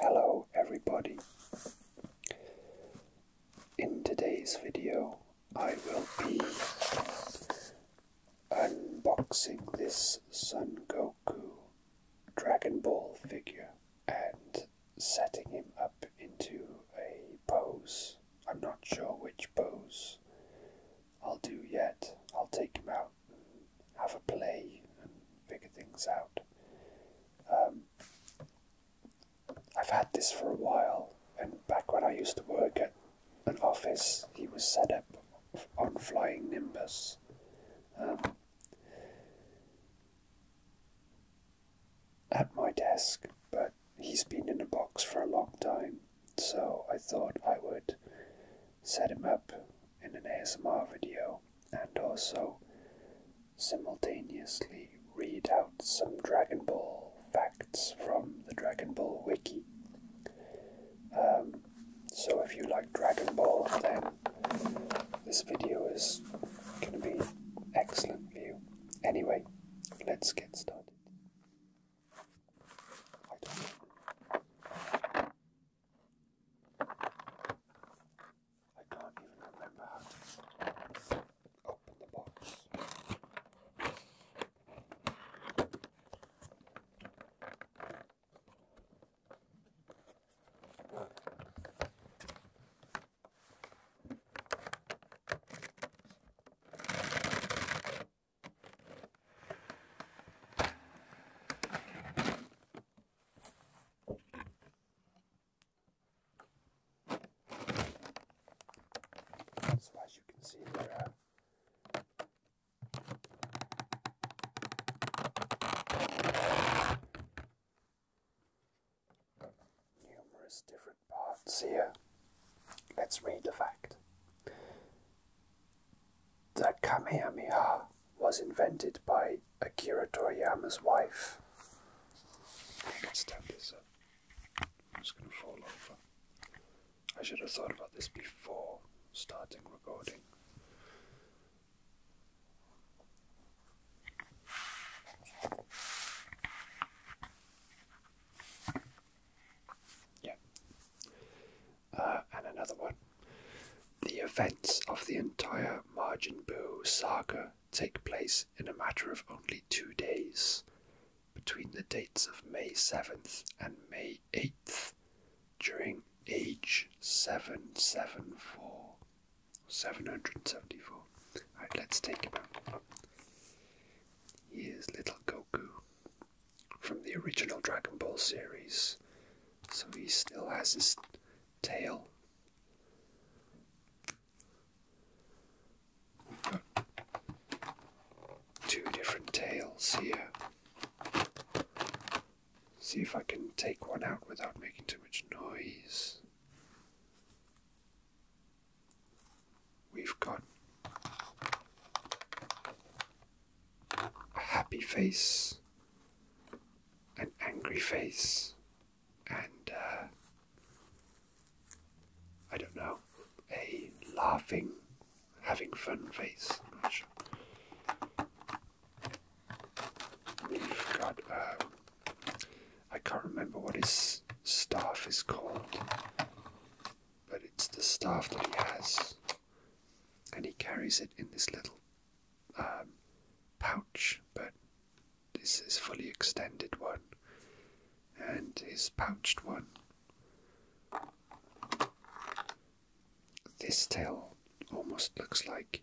Hello everybody. In today's video I will be unboxing this Son Goku Dragon Ball figure and setting him up into a pose. I'm not sure which pose I'll do yet. I'll take him out have a play and figure things out. Um, I've had this for a while, and back when I used to work at an office, he was set up on Flying Nimbus. Um, at my desk, but he's been in a box for a long time, so I thought I would set him up in an ASMR video and also simultaneously read out some Dragon Ball facts from the Dragon Ball wiki. Um, so if you like Dragon Ball, then this video is going to be excellent for you. Anyway, let's get started. I can't even remember how to open the box. So as you can see there are uh, numerous different parts here. Let's read the fact. The Kamehameha was invented by Akira Toriyama's wife. I can uh, I'm just going to fall over. I should have thought about this before starting recording. Yeah. Uh, and another one. The events of the entire Majin Buu saga take place in a matter of only two days, between the dates of May 7th and May 8th, during age 774. 774. Alright, let's take him out. Here's little Goku from the original Dragon Ball series. So he still has his tail. We've got two different tails here. See if I can take one out without making too much noise. We've got a happy face, an angry face, and uh, I don't know, a laughing, having fun face. We've got, uh, I can't remember what his staff is called, but it's the staff that he has and he carries it in this little um, pouch, but this is fully extended one, and his pouched one. This tail almost looks like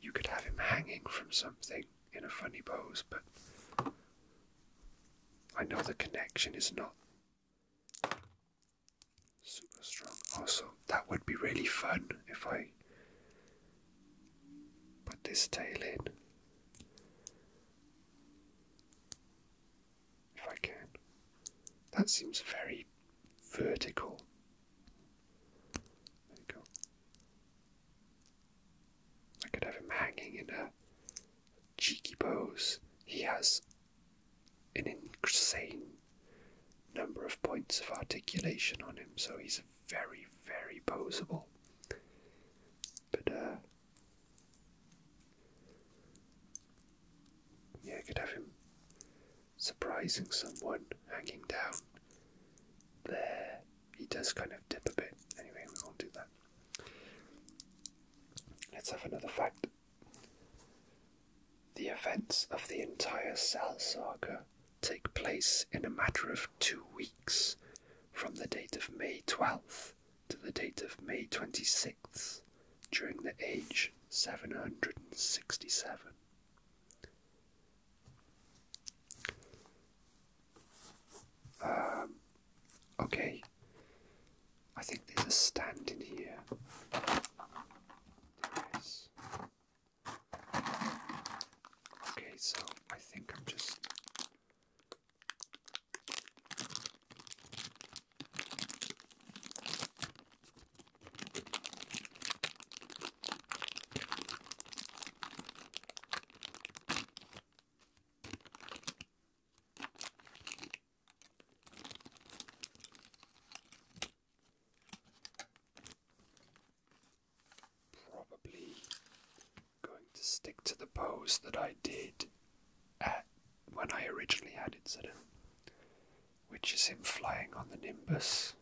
you could have him hanging from something in a funny pose, but I know the connection is not Super strong. Also, that would be really fun if I put this tail in. If I can. That seems very vertical. There you go. I could have him hanging in a cheeky pose. He has an insane number of points of articulation on him, so he's very, very posable. But, uh, yeah, I could have him surprising someone hanging down there. He does kind of dip a bit. Anyway, we won't do that. Let's have another fact. The events of the entire Cell saga take place in a matter of two weeks, from the date of May 12th to the date of May 26th, during the age 767. Um, okay, I think there's a stand in here. Nice. Okay, so I think I'm just. Probably going to stick to the pose that I did at when I originally had it set up, which is him flying on the Nimbus.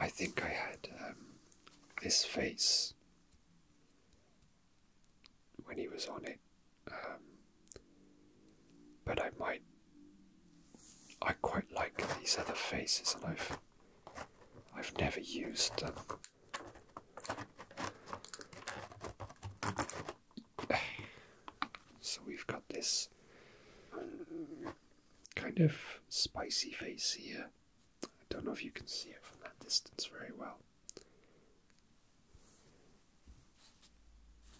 I think I had um, this face when he was on it. Um, but I might. I quite like these other faces, and I've I've never used them. So we've got this kind of spicy face here, I don't know if you can see it from that distance very well.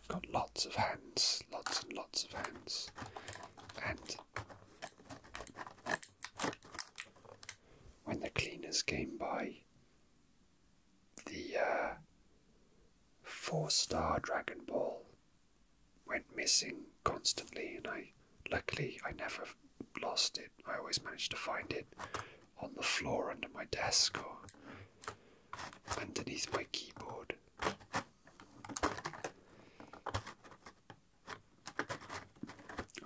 Got lots of hands, lots and lots of hands, and when the cleaners came by, the uh, four star Dragon Ball went missing constantly, and I luckily I never lost it. I always managed to find it on the floor under my desk or underneath my keyboard.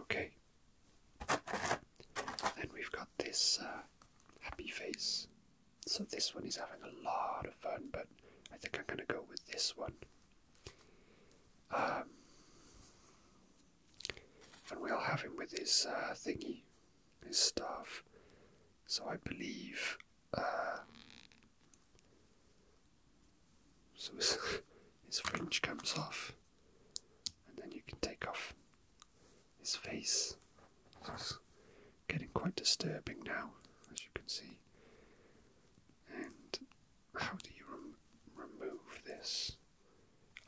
Okay. Then we've got this uh, happy face. So this one is having a lot of fun, but I think I'm going to go with this one. Um, and we will have him with his uh, thingy, his staff. So I believe. Uh, so his, fringe comes off, and then you can take off his face. It's getting quite disturbing now, as you can see. And how do you remove this?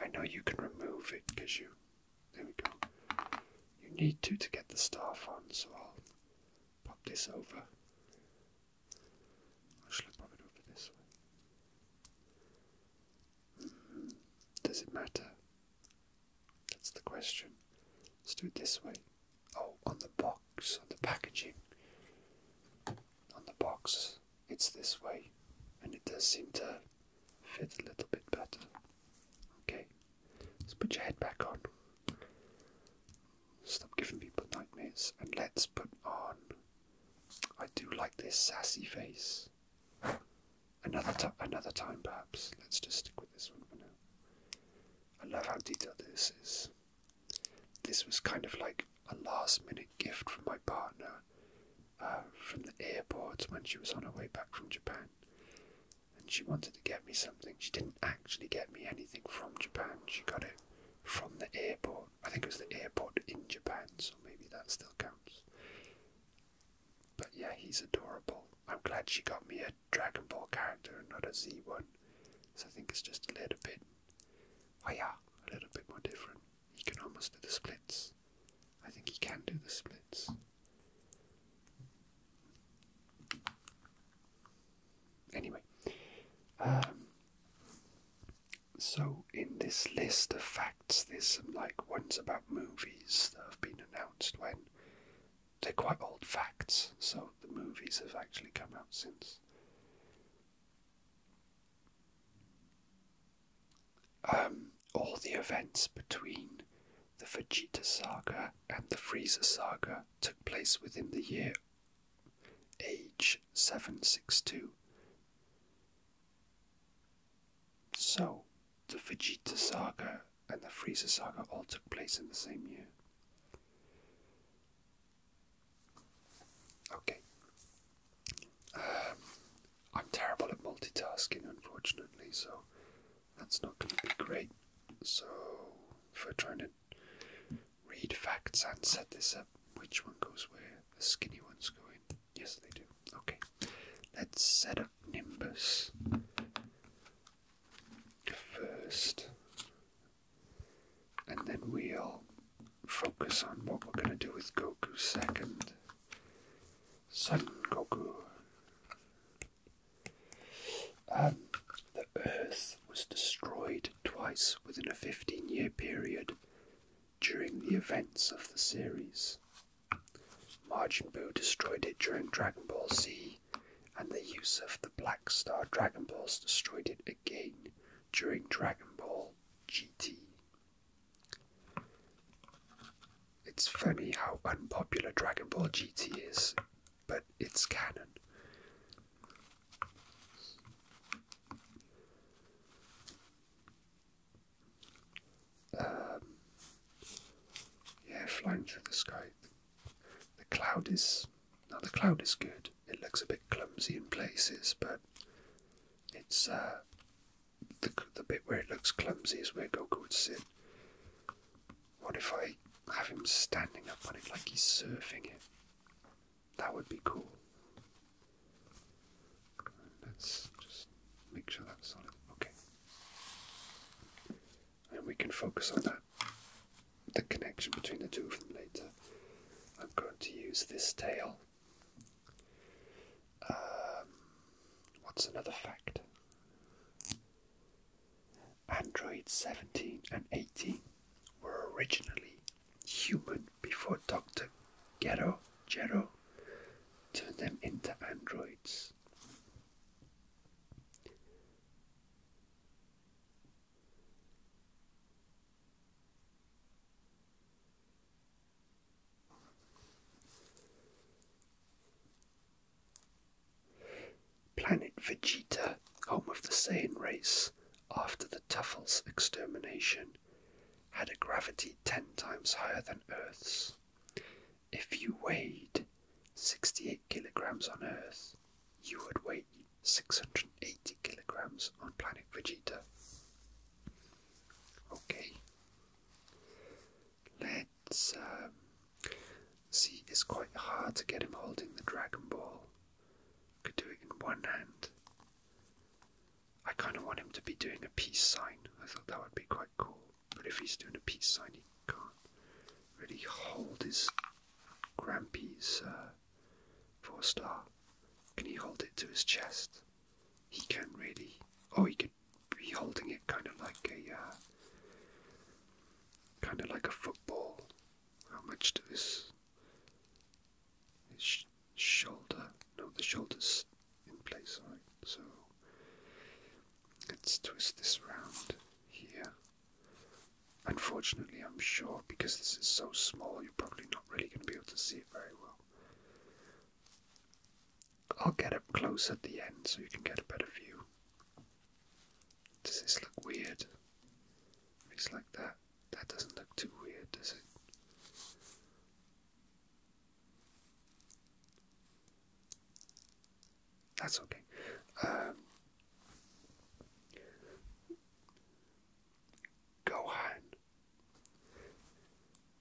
I know you can remove it because you. There we go. You need to to get the staff on, so I'll pop this over. Actually, pop it over this way. Mm-hmm. Does it matter? That's the question. Let's do it this way. Oh, on the box, on the packaging. On the box, it's this way and it does seem to fit a little bit better. Okay, let's put your head back on. Stop giving people nightmares and let's put on. I do like this sassy face. Another time, another time perhaps. Let's just stick with this one for now. I love how detailed this is. This was kind of like a last minute gift from my partner uh, from the airport when she was on her way back from Japan. And she wanted to get me something. She didn't actually get me anything from Japan, she got it from the airport. I think it was the airport in Japan, so maybe that still counts. But yeah, he's adorable. I'm glad she got me a Dragon Ball character not a Z1. So I think it's just a little bit, oh yeah, a little bit more different. He can almost do the splits. I think he can do the splits. Anyway, um, so in this list of facts, there's some like ones about movies that have been announced when they're quite old facts, so the movies have actually come out since. Um, all the events between the Vegeta saga and the Frieza saga took place within the year age 762. So, the Vegeta saga and the Frieza saga all took place in the same year. Okay, um, I'm terrible at multitasking, unfortunately, so that's not going to be great. So, if we're trying to read facts and set this up, which one goes where? The skinny one's go in. Yes, they do. Okay, let's set up Nimbus first, and then we'll focus on what we're going to do with Goku second. Son Goku. Um, the Earth was destroyed twice within a 15 year period during the events of the series. Majin Buu destroyed it during Dragon Ball Z, and the use of the Black Star Dragon Balls destroyed it again during Dragon Ball GT. It's funny how unpopular Dragon Ball GT is, but it's canon. Um, yeah, flying through the sky. The cloud is now the cloud is good. It looks a bit clumsy in places, but it's uh, the, the bit where it looks clumsy is where Goku would sit. What if I have him standing up on it like he's surfing it? That would be cool. Let's just make sure that's solid. Okay. And we can focus on that. The connection between the two of them later. I'm going to use this tail um, what's another fact? Androids 17 and 18 were originally human before Dr. Gero, Gero turned them into androids. Planet Vegeta, home of the Saiyan race, after the Tuffles extermination, had a gravity ten times higher than Earth's. If you weighed 68 kilograms on Earth, you would weigh 680 kilograms on planet Vegeta. Okay. Let's um, see. It's quite hard to get him holding the Dragon Ball. Could do it in one hand. I kind of want him to be doing a peace sign. I thought that would be quite cool. But if he's doing a peace sign, he can't really hold his Grampy's uh, four star. Can he hold it to his chest? he can really, oh, he could be holding it kind of like a, uh, kind of like a football. How much to this? His shoulder? No, the shoulder's in place, right? So let's twist this round here. Unfortunately, I'm sure because this is so small, you're probably not really going to be able to see it very well. I'll get up close at the end so you can get a better view. Does this look weird? If like that, that doesn't look too weird, does it? That's okay. Um, Gohan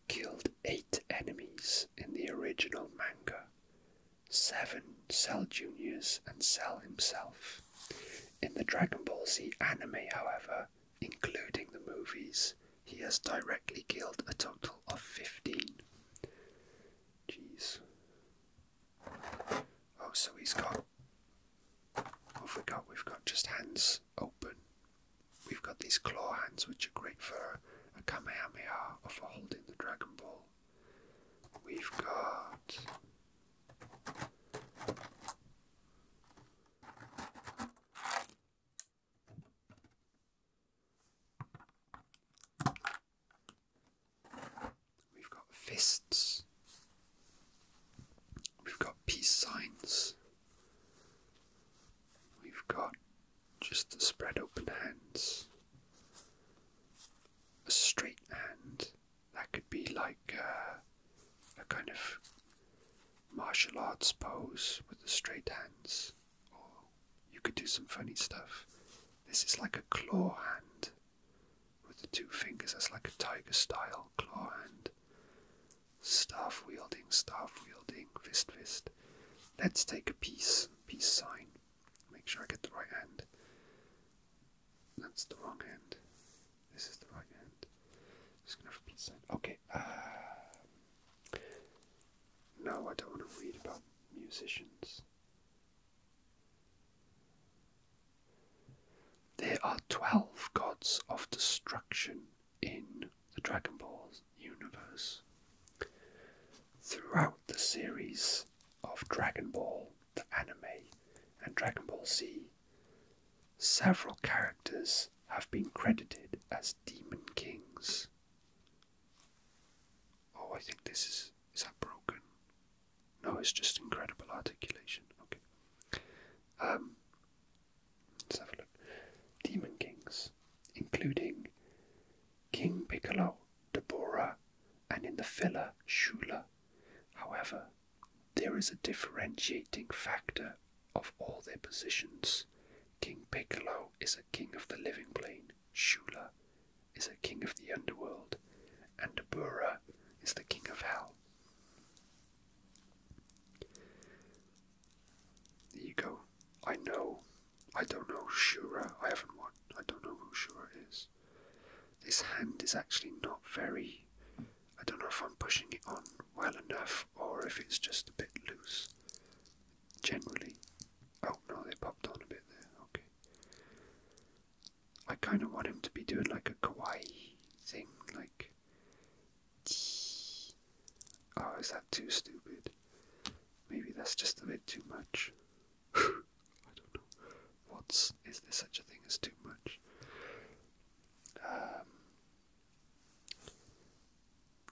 Killed eight enemies in the original manga, seven Cell Juniors and Cell himself. In the Dragon Ball Z anime, however, including the movies, he has directly killed a total of 15. Jeez. Oh, so he's got. Oh, I forgot we've got just hands open We've got these claw hands, which are great for a Kamehameha or for holding the Dragon Ball. We've got. We've got fists. We've got peace signs. We've got just the spread open hands. A straight hand that could be like uh, a, kind of martial arts pose with the straight hands, or you could do some funny stuff. This is like a claw hand with the two fingers, that's like a tiger style claw hand. Staff wielding, staff wielding, fist, fist. Let's take a peace, peace sign. Make sure I get the right hand. That's the wrong hand. This is the right hand. Just gonna peace sign. Okay. Uh, no, I don't want to read about musicians. There are twelve gods of destruction in the Dragon Ball universe. Throughout the series of Dragon Ball, the anime, and Dragon Ball Z, several characters have been credited as Demon Kings. Oh, I think this is. Is that broken? No, it's just incredible articulation. Okay. Um, Let's have a look. Demon kings, including King Piccolo, Deborah, and in the filler, Shula. However, there is a differentiating factor of all their positions. King Piccolo is a king of the living plane, Shula is a king of the underworld, and Deborah is the king of hell. There you go. I know. I don't know Shura. I haven't won. I don't know who Shura is. This hand is actually not very. I don't know if I'm pushing it on well enough or if it's just a bit loose. Generally. Oh no, they popped on a bit there. Okay. I kind of want him to be doing like a kawaii thing, like Oh, is that too stupid? Maybe that's just a bit too much. I don't know. What's is there such a thing as too much? Um,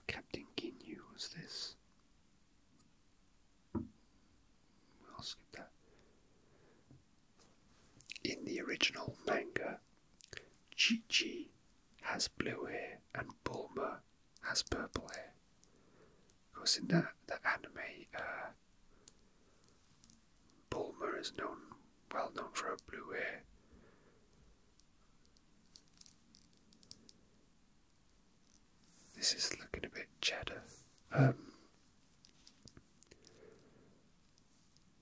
Captain Ginyu was this. I'll skip that. In the original manga, Chi Chi has blue hair and Bulma has purple hair. Of course, in the, the anime, uh, Bulma is known, well known for her blue hair. This is looking a bit cheddar. Um,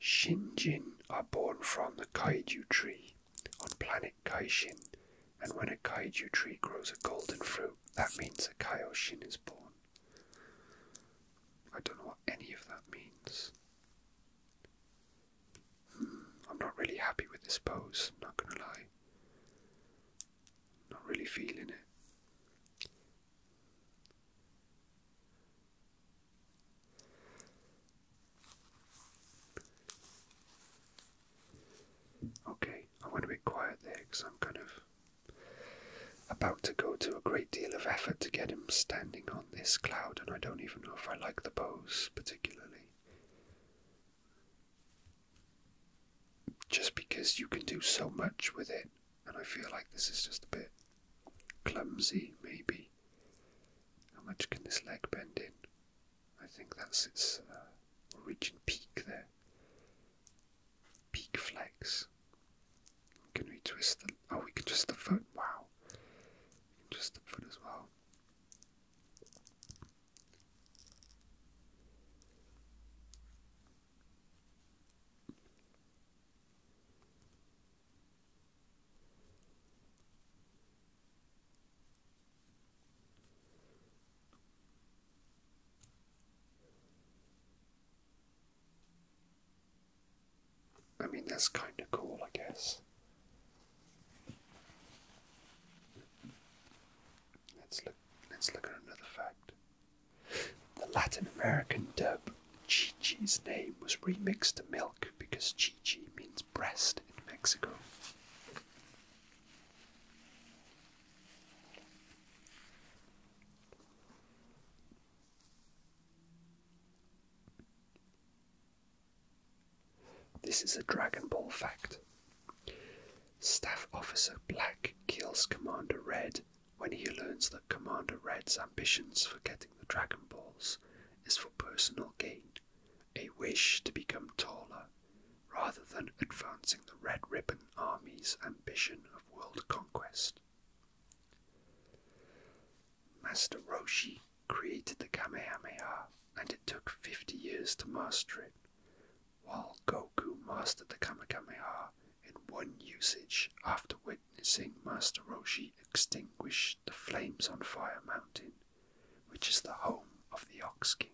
Shinjin are born from the kaiju tree on planet Kaijin, and when a kaiju tree grows a golden fruit, that means a Kaioshin is born. I don't know what any of that means. Hmm, I'm not really happy with this pose, not gonna lie. Not really feeling it. Okay, I want to be quiet there because I'm kind of about to go to a great deal of effort to get him standing on this cloud, and I don't even know if I like the pose particularly. Just because you can do so much with it, and I feel like this is just a bit clumsy, maybe. How much can this leg bend in? I think that's its uh, origin peak there. Peak flex. Can we twist the? Oh, we can twist the foot. Wow. twist the foot as well. I mean, that's kind of cool, I guess. Let's look. Let's look at another fact. The Latin American dub Chi Chi's name was remixed to milk because Chi Chi means breast in Mexico. This is a Dragon Ball fact. Staff Officer Black kills Commander Red when he learns that Commander Red's ambitions for getting the Dragon Balls is for personal gain, a wish to become taller, rather than advancing the Red Ribbon Army's ambition of world conquest. Master Roshi created the Kamehameha, and it took 50 years to master it, while Goku mastered the Kamehameha in one usage, after which Seeing Master Roshi extinguish the flames on Fire Mountain, which is the home of the Ox King.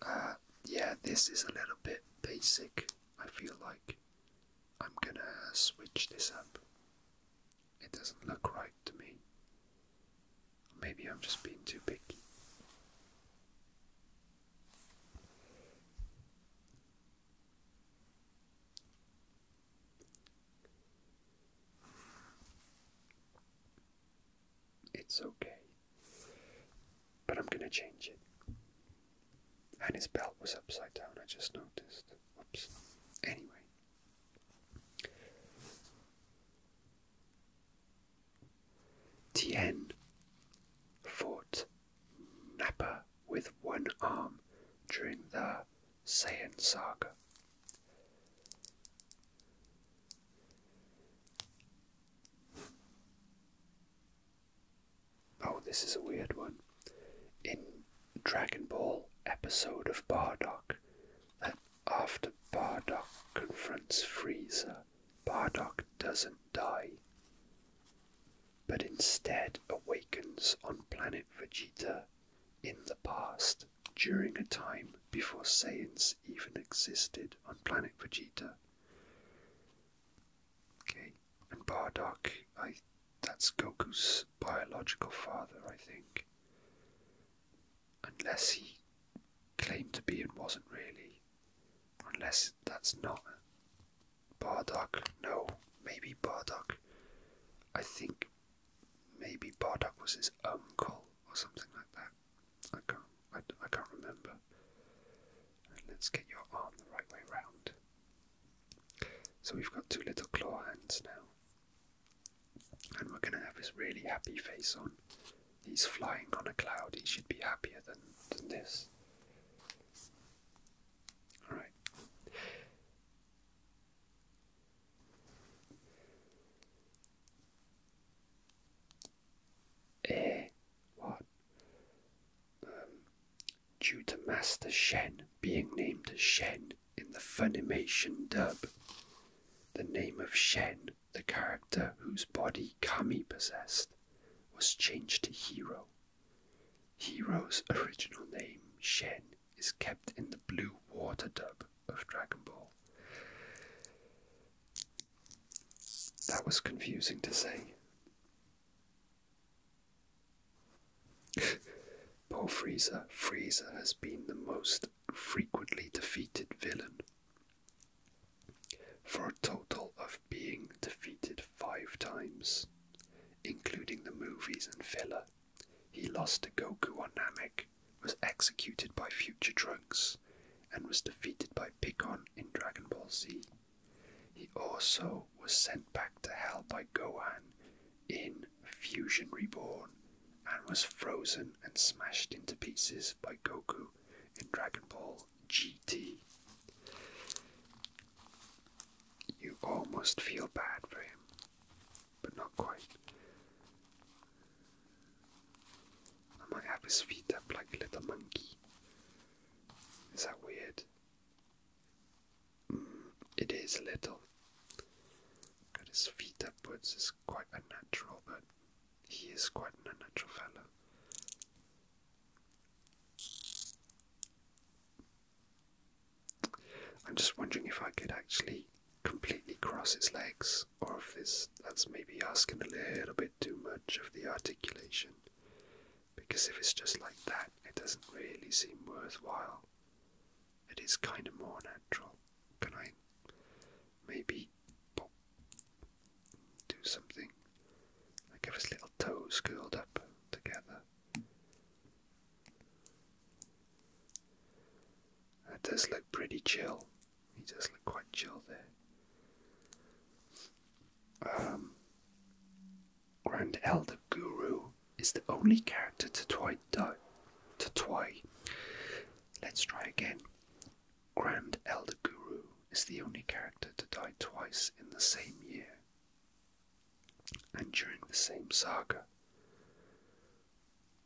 Uh, yeah, this is a little bit basic. I feel like I'm gonna switch this up. It doesn't look right to me. Maybe I'm just being too picky. It's okay, but I'm gonna change it. And his belt was upside down, I just noticed. Oops. Anyway. Tien fought Nappa with one arm during the Saiyan saga. Oh, this is a weird one. In Dragon Ball episode of Bardock, that after Bardock confronts Frieza, Bardock doesn't die but instead awakens on planet Vegeta in the past during a time before Saiyans even existed on planet Vegeta. Okay, and Bardock, I that's Goku's biological father, I think. Unless he claimed to be and wasn't really. Unless that's not Bardock. No, maybe Bardock. I think maybe Bardock was his uncle or something like that. I can't. I, I can't remember. let's get your arm the right way round. So we've got two little claw hands now, and we're going to have his really happy face on. He's flying on a cloud. He should be happier than than this. Um, due to Master Shen being named Shen in the Funimation dub, the name of Shen, the character whose body Kami possessed, was changed to Hero. Hero's original name, Shen, is kept in the blue water dub of Dragon Ball. That was confusing to say. Poor Frieza. Frieza has been the most frequently defeated villain for a total of being defeated five times, including the movies and filler. He lost to Goku on Namek, was executed by Future Trunks, and was defeated by Piccon in Dragon Ball Z. He also was sent back to Hell by Gohan in Fusion Reborn and was frozen and smashed into pieces by Goku in Dragon Ball GT. You almost feel bad for him, but not quite. I might have his feet up like a little monkey. Is that weird? Mm, it is a little. Got his feet upwards is quite unnatural, but he is quite an unnatural fellow. I'm just wondering if I could actually completely cross its legs, or if this that's maybe asking a little bit too much of the articulation. Because if it's just like that, it doesn't really seem worthwhile. It is kind of more natural. Can I maybe do something like if his little toes curled up together. That does look pretty chill. He does look quite chill there. Um, Grand Elder Guru is the only character Tatoi died. Tatoi. Let's try again. Grand Elder Guru is the only character to die twice in the same year and during the same saga.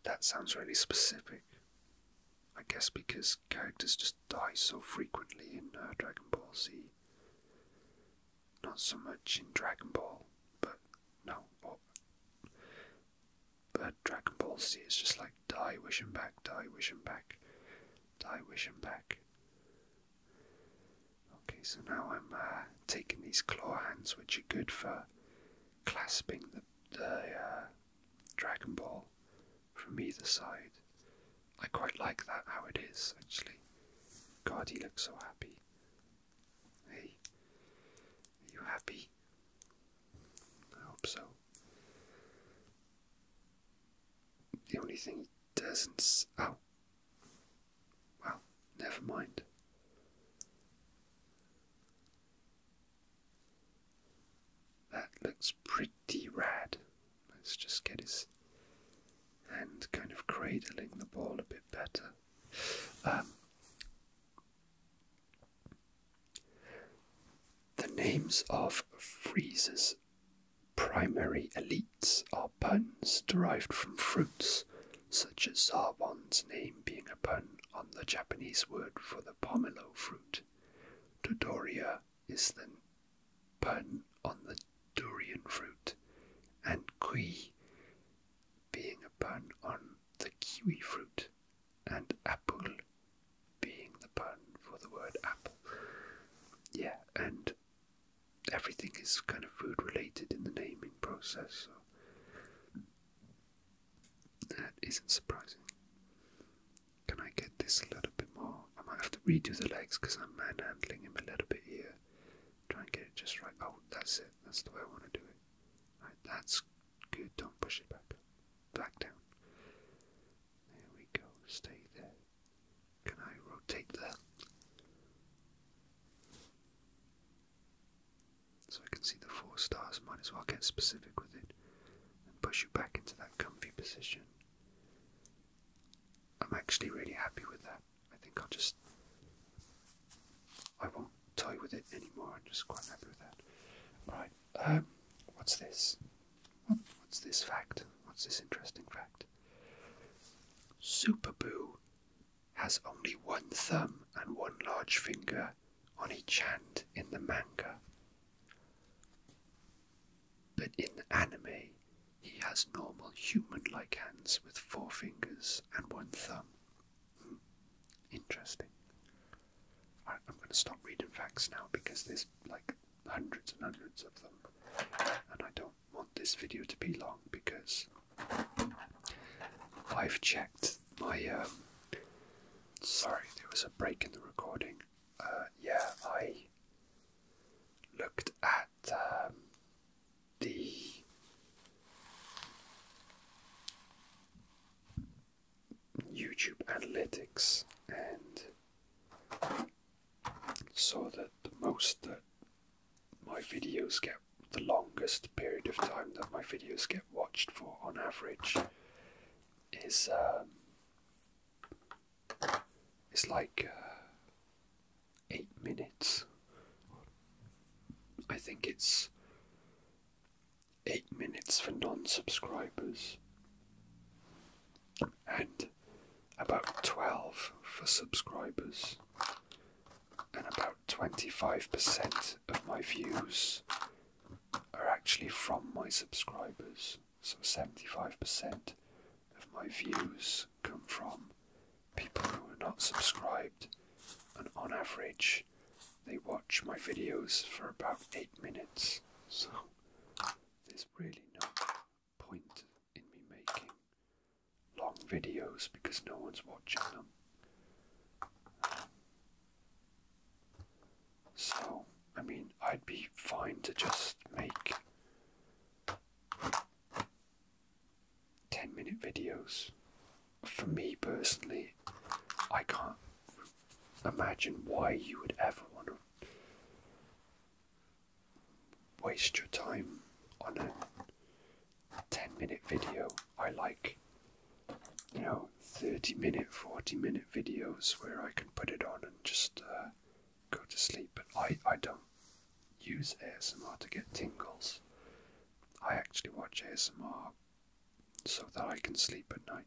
That sounds really specific. I guess because characters just die so frequently in uh, Dragon Ball Z. Not so much in Dragon Ball, but no. but Dragon Ball Z is just like die, wish him back, die, wish him back, die, wish him back. Okay, so now I'm uh, taking these claw hands, which are good for clasping the, uh, Dragon Ball from either side. I quite like that how it is, actually. God, he looks so happy. Hey, are you happy? I hope so. The only thing doesn't. oh. Well, never mind. That looks pretty rad. Let's just get his hand kind of cradling the ball a bit better. Um, the names of freezes Primary elites are puns derived from fruits, such as Sarwan's name being a pun on the Japanese word for the pomelo fruit. Dodoria is the pun on the durian fruit, and kui being a pun on the kiwi fruit, and apple being the pun for the word apple. Yeah, and everything is kind of food related in the naming process, so that isn't surprising. Can I get this a little bit more? I might have to redo the legs because I'm manhandling him a little bit here. Try and get it just right. Oh, that's it. That's the way I want to do it. Right, that's good. Don't push it back Back down. There we go. Stay there. Can I rotate that? So I can see the four stars, might as well get specific with it and push you back into that comfy position. I'm actually really happy with that. I think I'll just. I won't toy with it anymore, I'm just quite happy with that. Right, um, what's this? What's this fact? What's this interesting fact? Superboo has only one thumb and one large finger on each hand in the manga. But in anime, he has normal human like hands with four fingers and one thumb. Hmm. Interesting. I'm going to stop reading facts now because there's like hundreds and hundreds of them, and I don't want this video to be long because I've checked my. Um, sorry, there was a break in the recording. Uh, yeah, I looked at um, the YouTube analytics and so that the most that my videos get the longest period of time that my videos get watched for on average is um, like uh, eight minutes. I think it's eight minutes for non-subscribers, and about 12 for subscribers, and about 25% of my views are actually from my subscribers. So 75% of my views come from people who are not subscribed, and on average, they watch my videos for about 8 minutes. So there's really no point in me making long videos because no one's watching them. so, I mean, I'd be fine to just make 10 minute videos. For me personally, I can't imagine why you would ever want to waste your time on a 10 minute video. I like, you know, 30 minute, 40 minute videos where I can put it on and just uh, go to sleep. But I, I don't use ASMR to get tingles. I actually watch ASMR so that I can sleep at night.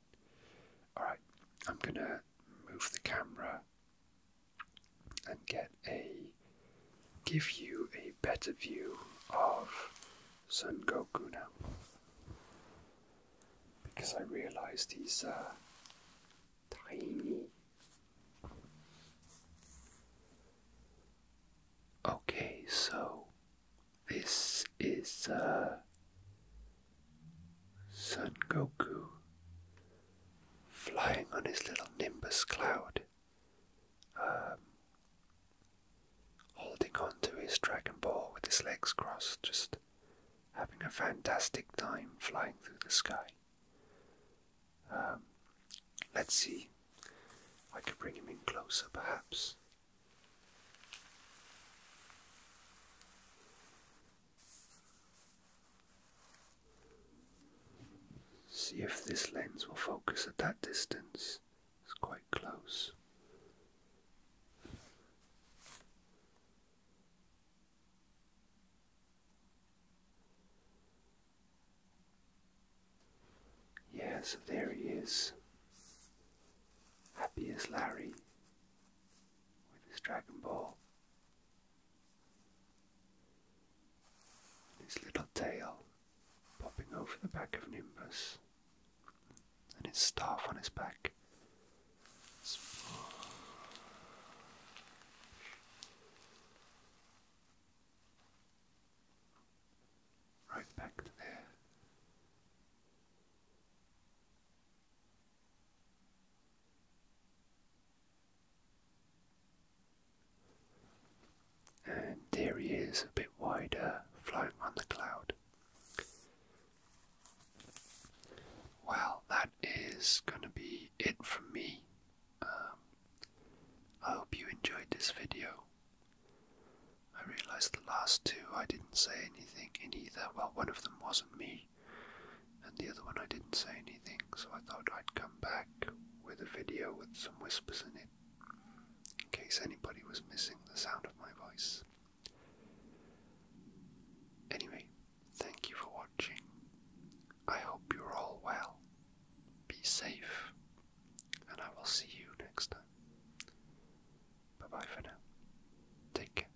Alright, I'm gonna move the camera and get a give you a better view of Son Goku now. Because I realized he's a uh, tiny. Okay, so this is uh, Son Goku flying on his little nimbus cloud, um, holding on to his Dragon Ball with his legs crossed, just having a fantastic time flying through the sky. Um, let's see, I could bring him in closer perhaps. See if this lens will focus at that distance. It's quite close. Yeah, so there he is. Happy as Larry with his Dragon Ball. His little tail popping over the back of Nimbus, and his staff on his back. Right back there. And there he is, a bit wider, flying on the cloud. Well, that is going to be it from me. Um, I hope you enjoyed this video. I realized the last two I didn't say anything in either. Well, one of them wasn't me, and the other one I didn't say anything, so I thought I'd come back with a video with some whispers in it, in case anybody was missing the sound of my voice. Anyway, thank you for watching. I hope you're all well. Be safe, and I will see you next time. Bye bye for now. Take care.